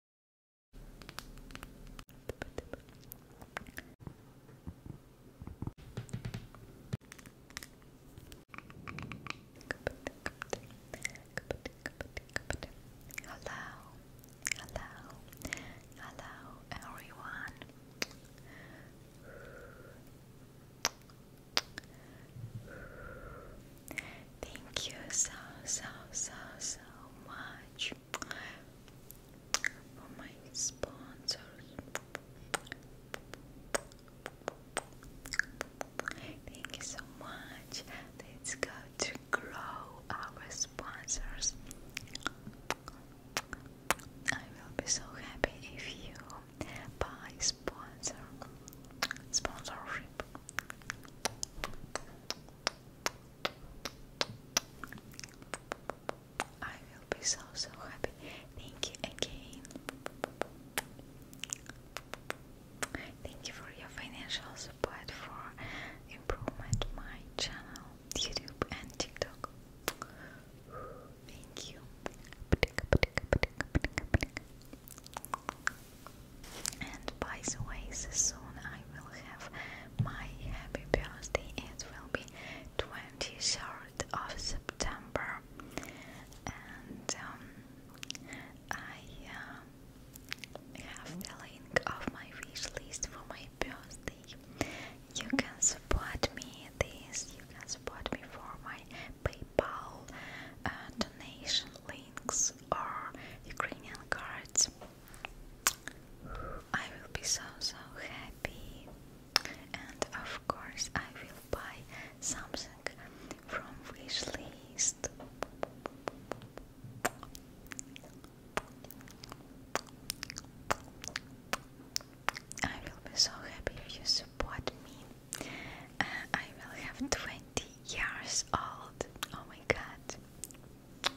Hello, hello, hello, everyone. Thank you so, so, so, so much for my sponsors. Thank you so much. Let's go to grow our sponsors. I will be so happy if you buy sponsor sponsorship. I will be so so happy. Thank you again. Thank you for your financial support for improvement my channel, YouTube and TikTok. Thank you. And by the way, soon I will have my happy birthday. It will be 23rd of September, and um, I uh, have the link of my wish list for my birthday. You can support me this. You can support me for my PayPal uh, donation links or Ukrainian cards. I will be so so happy, and of course, I will buy something from Wishlist. I will be so happy if you support me. Uh, I will have 20 years old. Oh my god.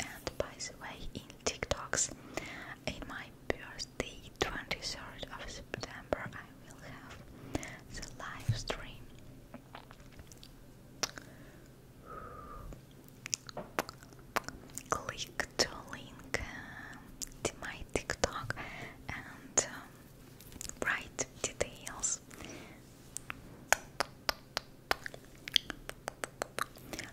And by the way, in TikToks, in my birthday, 23rd of September, I will have the live stream. Click to link uh, to my TikTok and um, right details.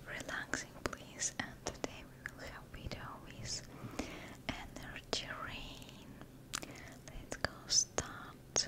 Relaxing, please. And today we will have video with energy rain. Let's go start.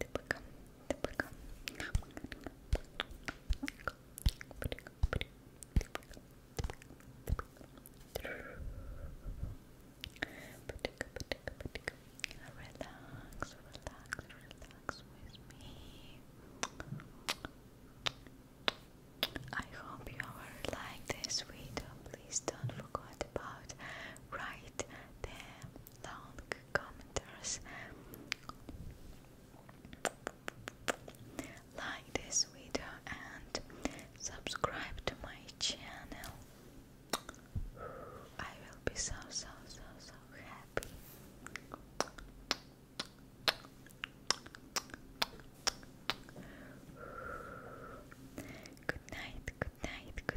Typical, Relax, relax, relax with me. I hope you like this video. Please don't forget about write the long commenters like this video and subscribe to my channel I will be so so so so happy Good night, good night,